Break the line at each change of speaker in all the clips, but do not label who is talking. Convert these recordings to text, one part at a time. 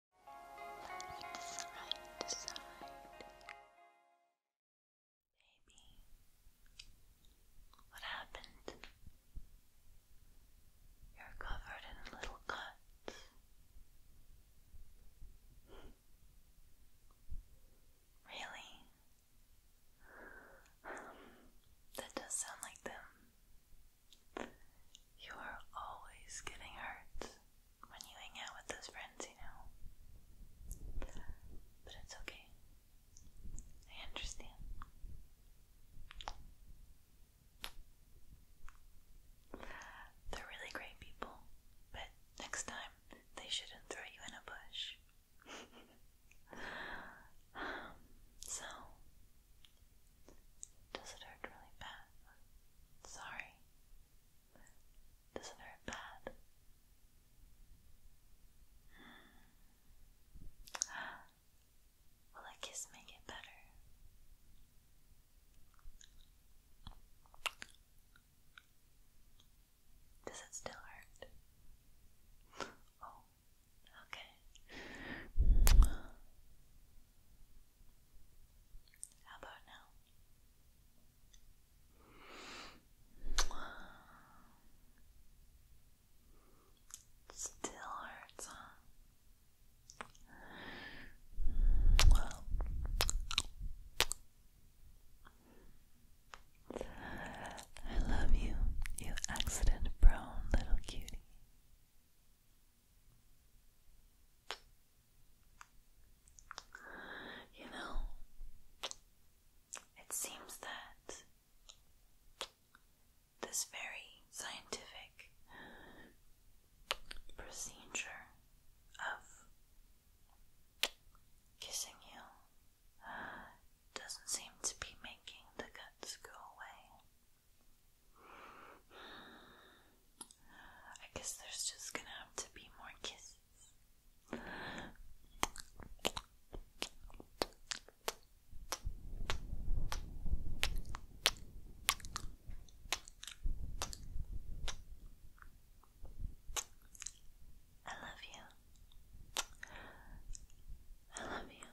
Look side to Baby, what happened? You're covered in little cuts. Really? that does sound like them. You are always getting hurt when you hang out with those friends, you know. But it's okay. I understand. They're really great people, but next time they shouldn't throw you in a bush. so, does it hurt really bad? Sorry. Doesn't hurt bad. Hmm. Will a kiss make it better? Does it still hurt? Oh, okay. How about now? still hurts, huh? I love you, you accident prone little cutie. You know, it seems that this very scientific procedure of kissing you uh, doesn't seem to be making the guts go away. I guess there's just gonna have to be more kisses. I love you. I love you.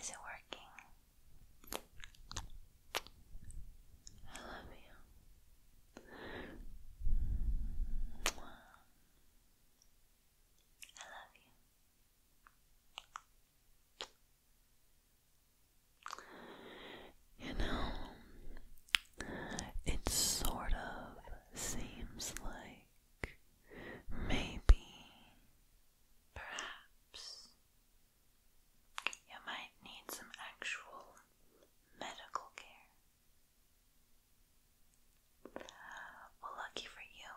Is it working? I love you. I love you. You know, it sort of seems like maybe Perhaps you might need some actual medical care. Well, lucky for you,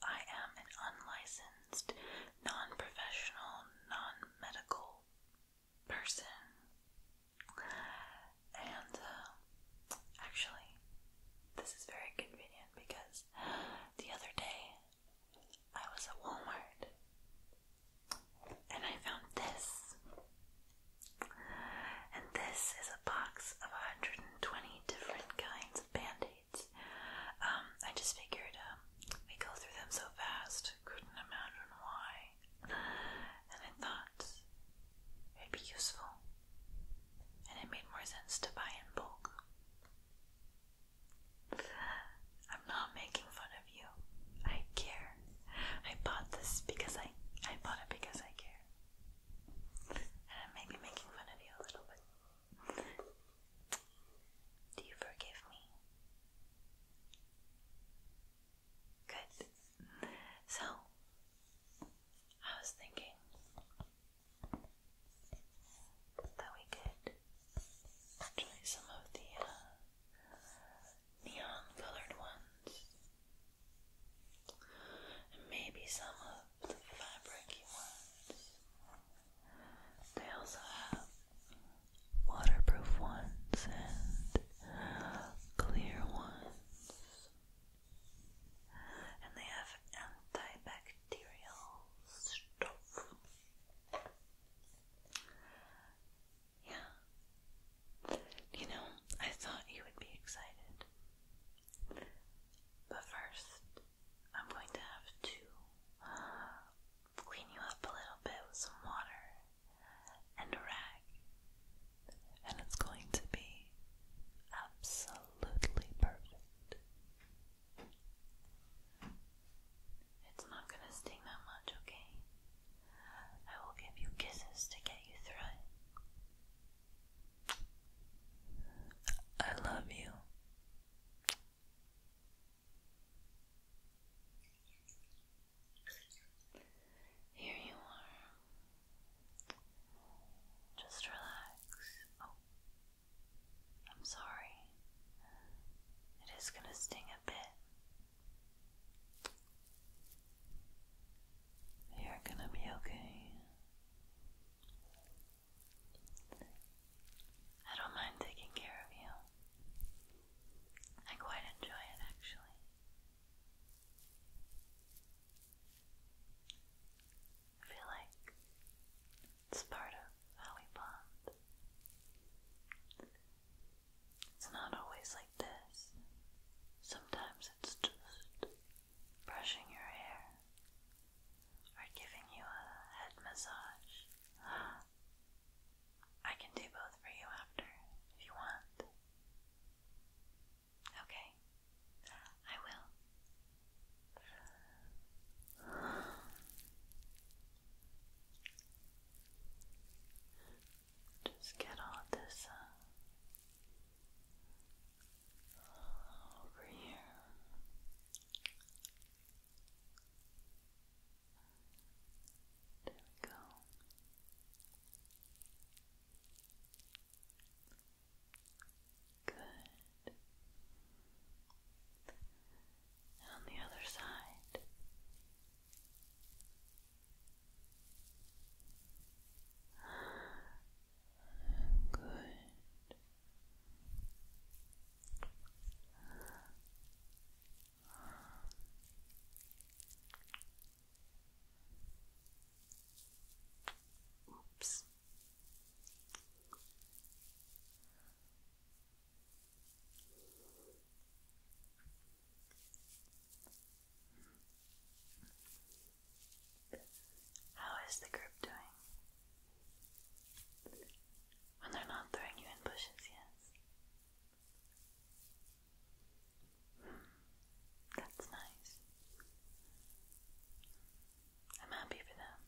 I am an unlicensed, non professional, non medical person. And uh, actually, this is very convenient because the other day I was at Walmart and I found this. And this is a box of 120 different kinds of band aids. Um, I just figured um, we go through them so fast, couldn't imagine why. And I thought it'd be useful. And it made more sense to buy in bulk. I'm not making fun of you. I care. I bought this because I I bought it because I care. And I may be making fun of you a little bit. Do you forgive me? Good. So I was thinking that we could try some of the uh, neon colored ones and maybe some of the fabricy ones. They also have waterproof ones and clear ones. And they have antibacterial Materialstoff. Yeah. You know, I thought you would be excited. But first, I'm going to have to uh, clean you up a little bit with some water and a rag. And it's going to be absolutely perfect. It's not going to sting that much, okay? I will give you kisses to get you through I love you. Here you are. Just relax. Oh. I'm sorry. It is going to sting a bit. You're going to be okay. I don't mind taking care of you. I quite enjoy it actually. I feel like it's part of how we bond. It's not always like this. Sometimes it's just brushing your hair or giving you a head massage. I can do both for you after if you want. Okay, I will. Just get all this uh, over here. There we go. Good. And on the other side. Good. Oops. How is the group doing? When they're not throwing you in bushes, yes. Hmm. that's nice. I'm happy for them.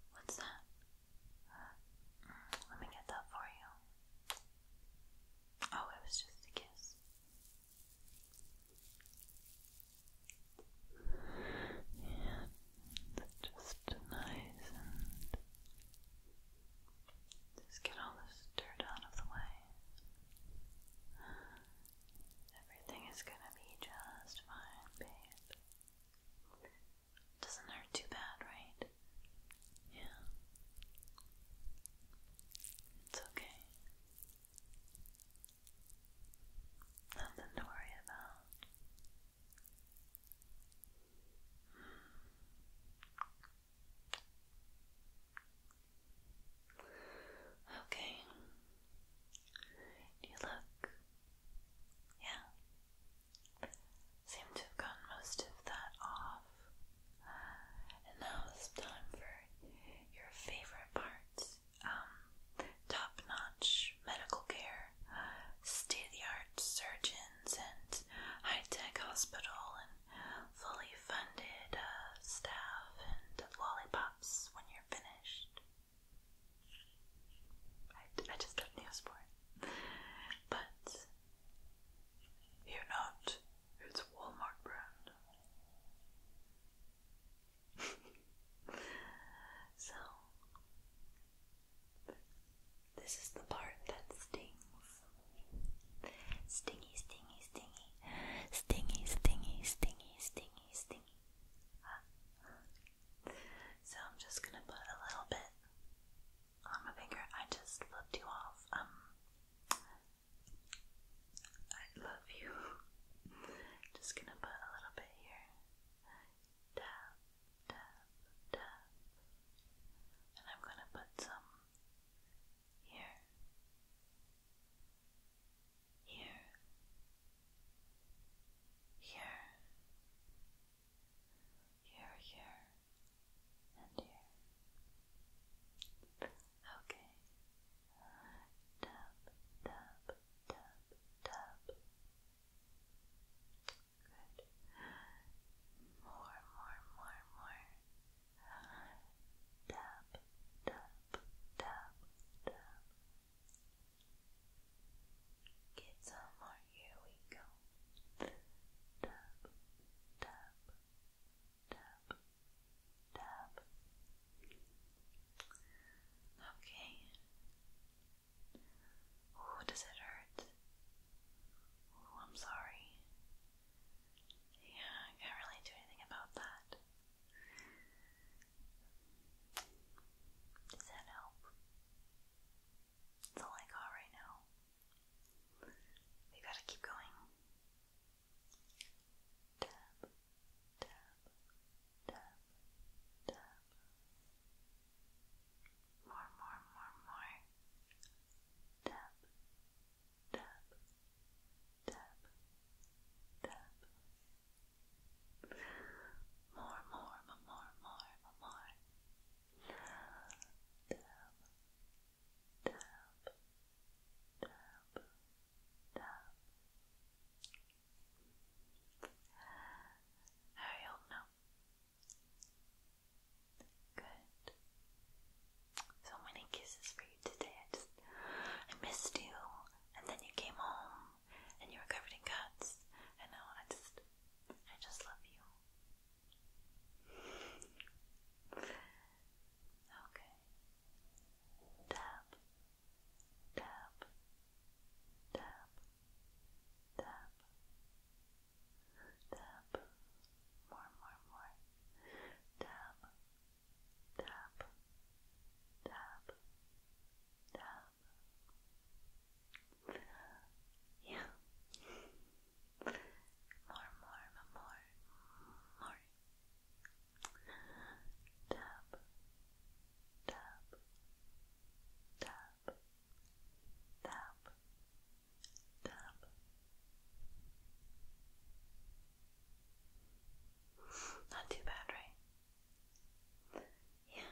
what's that? Mm, let me get that for you. Oh, it was just a kiss. And just nice and just get all this dirt out of the way. Everything is gonna be just fine, Doesn't hurt too bad, right? Yeah. It's okay. Nothing to worry about. Okay. You look, yeah. Seem to have gotten most of that off. And now it's time for your favorite parts. Um, top-notch medical care, state-of-the-art surgeons, and high-tech hospital, and fully funded uh, staff and lollipops when you're finished. I, just got news for it, but you're not it's Walmart brand. so this is the part that stings. Stingy, stingy, stingy. Stingy, stingy, stingy, stingy, So I'm just gonna put a little bit on my finger. I just flipped you off. Um I love you. Just gonna put a little bit here. Tap, tap, tap. And I'm gonna put some here. Here. Here. Here, here, and here. Okay. Tap, tap, tap, tap. Good. More, more, more, more. Tap, tap, tap, tap. Get some more. Here we go. Tap, tap, tap, tap. Okay. Oh, does it hurt? Oh, I'm sorry. Yeah, I can't really do anything about that. Does that help? That's all I got right now. We gotta keep going tap, tap, tap, tap. More, more, more, more. Tap, tap, tap, tap. More, more, more, more, more, more. Tap, tap, tap, tap. Are you now? Good. So many kisses for you today. I just, I missed you, and then you came home, and you were covered in cuts. And now I just, I just love you. Okay tap, tap, tap, tap, tap, more, more, more, tap, tap, tap, tap. Yeah. More, more, more, more. Tap, tap, tap, tap, tap. Not too bad, right? Yeah.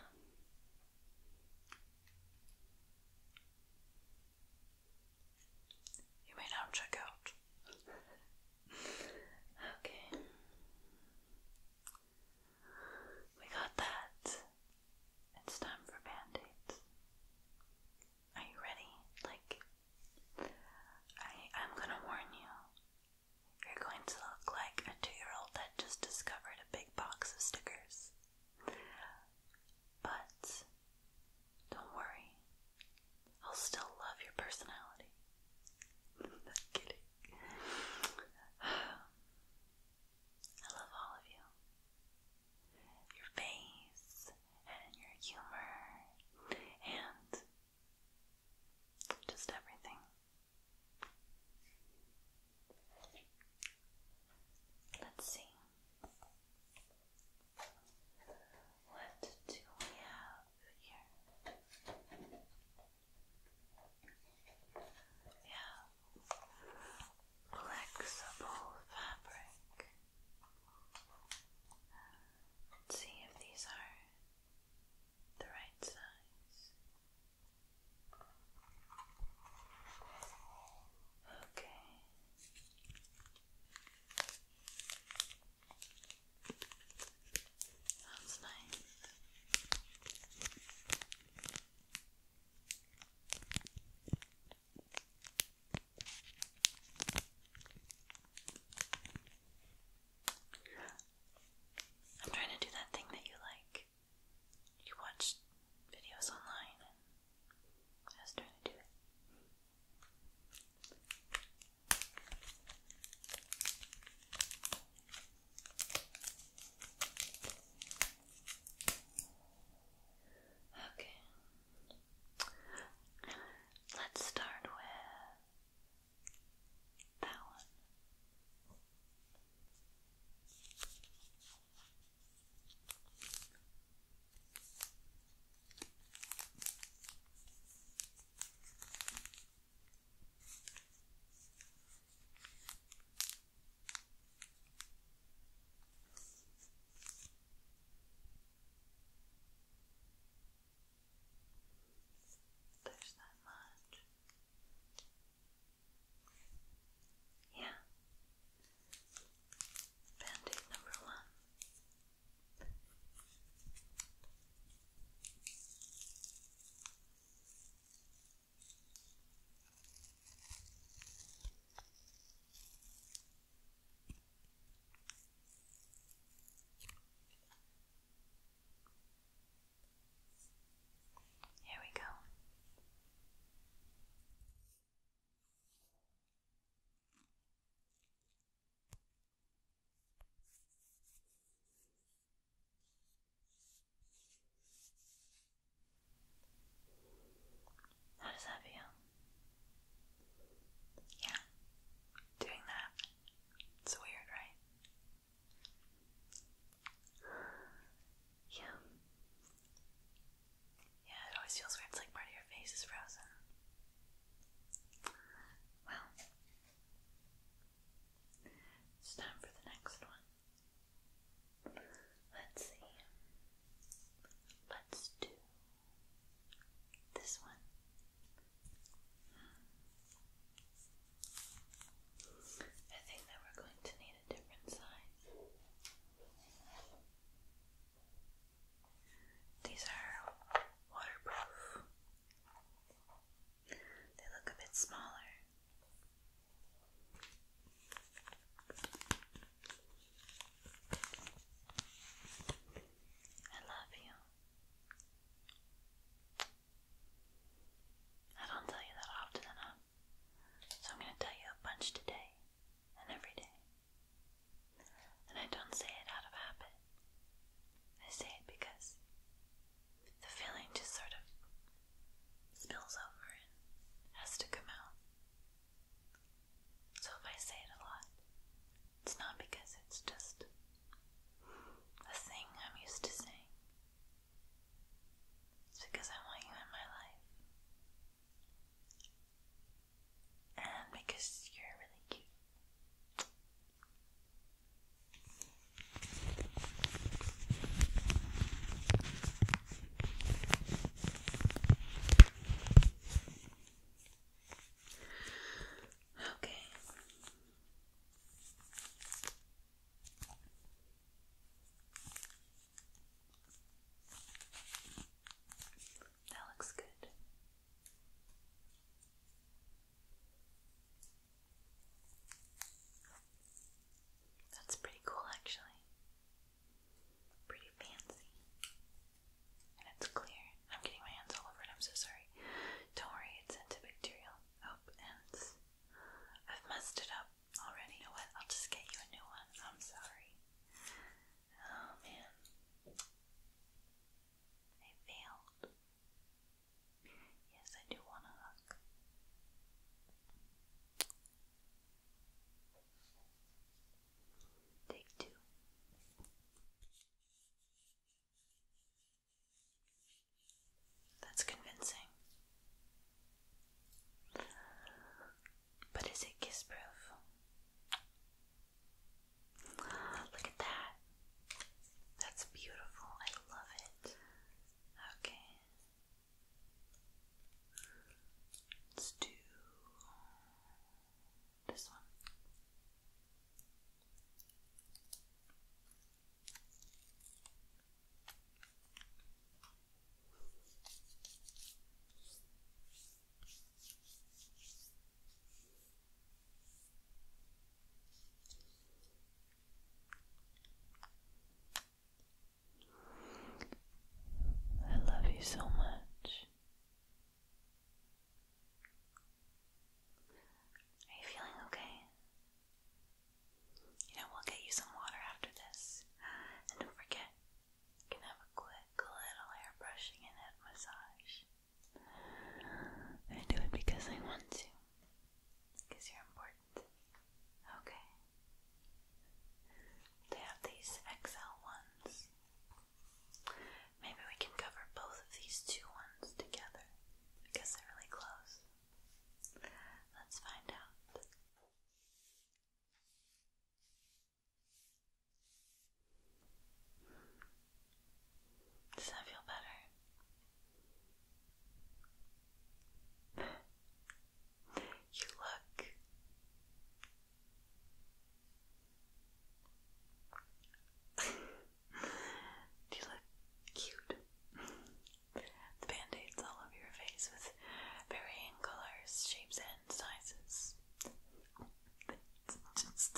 You may now check out. okay. We got that. It's time for band aids. Are you ready? Like, I, I'm gonna warn you. You're going to look like a two year old that just discovered a big box of stickers. But don't worry, I'll still love your personality. Not kidding. I love all of you. Your face and your humor and just everything. Let's see. What do we have here? Yeah, flexible fabric. Let's see if these are the right size. Okay. That's nice. I'm trying to do that thing that you like. You watch videos online and I was trying to do it. Okay. Let's start with that one. There's not much. Yeah. Band-Aid number one. Here we go. How does that feel? Yeah, doing that. It's weird, right? Yeah. Yeah, it always feels weird. It's like part of your face is frozen. Well, it's time for the next one. Let's see. Let's do this one. Hmm. I think that we're going to need a different size. These are waterproof. They look a bit smaller. I love you. I don't tell you that often enough, so I'm going to tell you a bunch today and every day. And I don't say it out of habit. I say it because the feeling just sort of spills over and has to come out. So if I say it a lot, it's not because it's just a thing I'm used to saying. It's because I want you in my life and because you're really cute. Okay. That looks good. That's pretty cool, actually. Pretty fancy. And it's clear. I'm getting my hands all over it. I'm so sorry. Don't worry, it's antibacterial. Oh, and I've messed it up already. You know what? I'll just get you a new one. I'm sorry. Oh man, I failed. Yes, I do want a Take two. That's convincing. But is it kiss proof? Look at that. That's beautiful. I love it. Okay. Let's do this one. I love you so much. Are you feeling okay? You know, we'll get you some water after this. And don't forget, can have a quick little hair brushing and head massage. I do it because I want to. Because you're important. Okay. They have these XL ones. Maybe we can cover both of these two ones together because they're really close. Let's find out. Does that feel better? you look you look cute? the band-aids all over your face with varying colors, shapes, and sizes. It's just,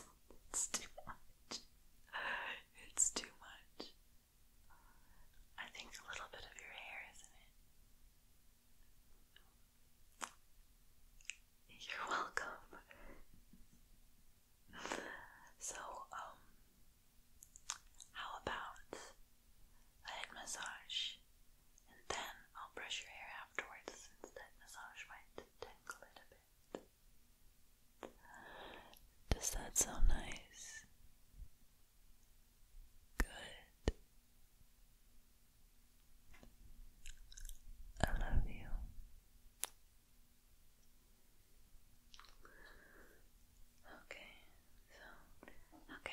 too much. It's too much. I think a little bit of your hair, isn't it? You're welcome. So, um, how about a head massage and then I'll brush your hair afterwards since that massage might tangle it a bit. Does that sound nice? Good. I love you. Okay, so, okay.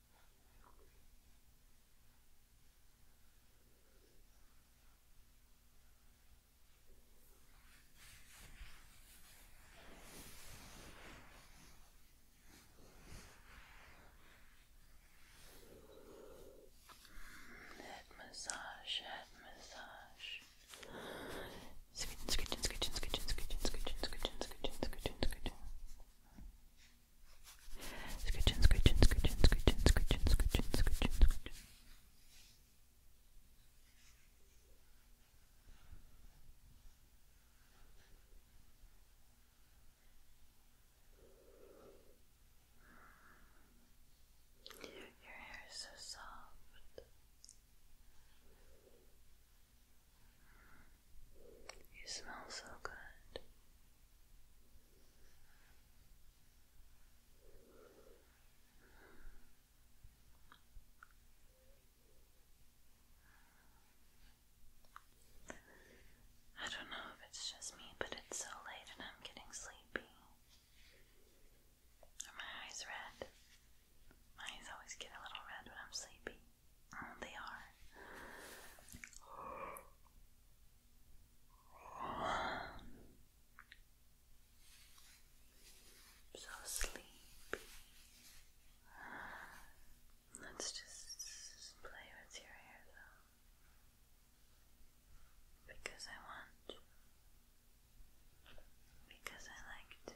Head massage, head massage. Scootin', scootin', scootin', scootin', scootin', scootin', scootin', scootin', scootin', scootin', scootin', Scritchin, scritchin, scritchin, scritchin, scritchin, scritchin, scritchin, scritchin. Your hair is so soft. You smell so good. I don't know if it's just me, but it's so late and I'm getting sleepy. Are my eyes red? My eyes always get a little red when I'm sleepy. Oh, they are. One. So sleepy. Let's just play with your hair though. Because I want to. Because I like to.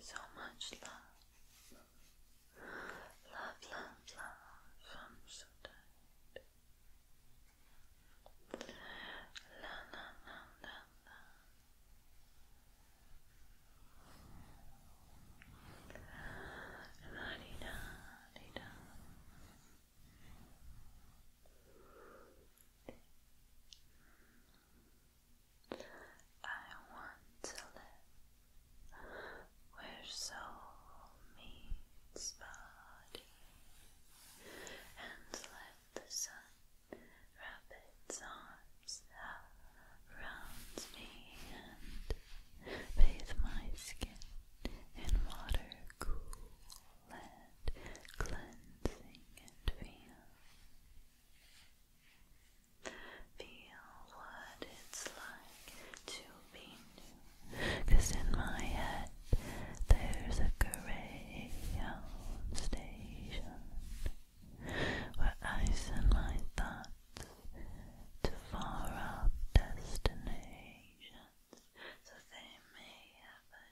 so much love, love, love, love from Sudan. La la la la la. La di I want to live where soul meets body and let the sun wrap its arms around me and bathe my skin in water cool let cleansing and feel. Feel what it's like to be new. in my head there's a greyhound station where I send my thoughts to far off destinations. So they may have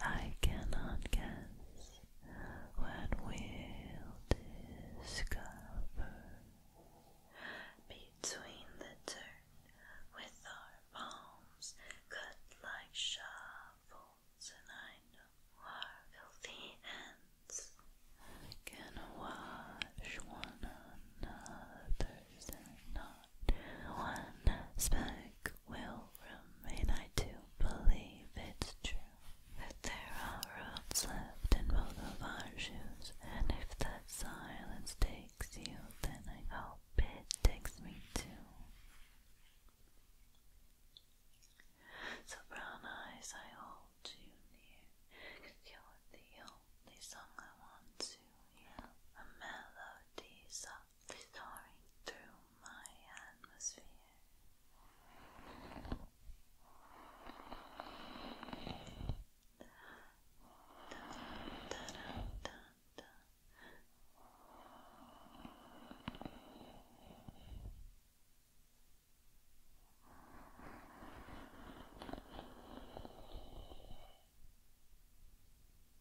I cannot guess what we'll discover between the turn with our palms cut like shovels, and I know our filthy hands can wash one another's and not one spoke will remain. I do believe it's true that there are roads left in both of our shoes, and if that silence takes you, then I hope it takes me too. So brown eyes, I hold you near, you you're the only song I want to hear, a melody thawing through my atmosphere.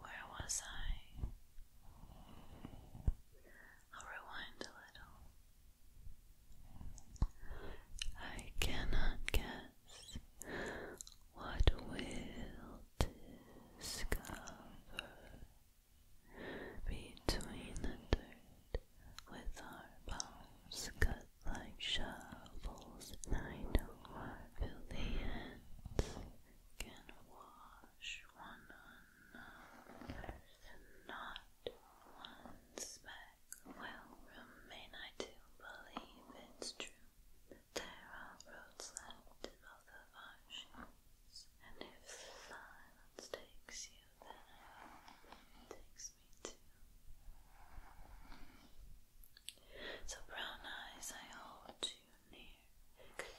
Where was I? I'll rewind a little. I cannot guess what will discover between the dirt with our palms cut like shovels. I know I feel the ends can wash one another, not one speck will remain. I do believe it's true. There are roads left in both of our shoes, and if silence takes you, then it takes me too. So brown eyes, I hold you you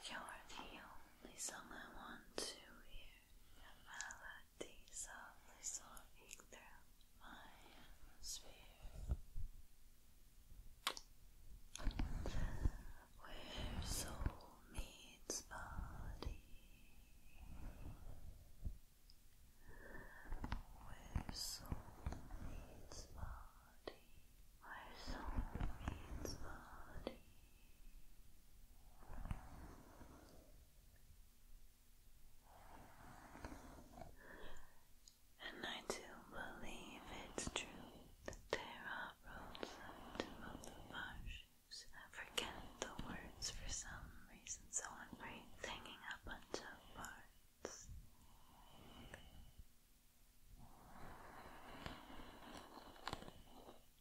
you're the only song I want to hear. The melody softly soaring through my atmosphere. Where soul meets body. Where soul meets body. I believe it's true that there are roads out of the marshes. forget the words for some reason, so I'm hanging up on two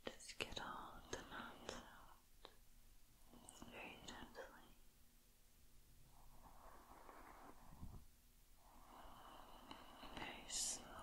just get all the knots out very gently. Very slow.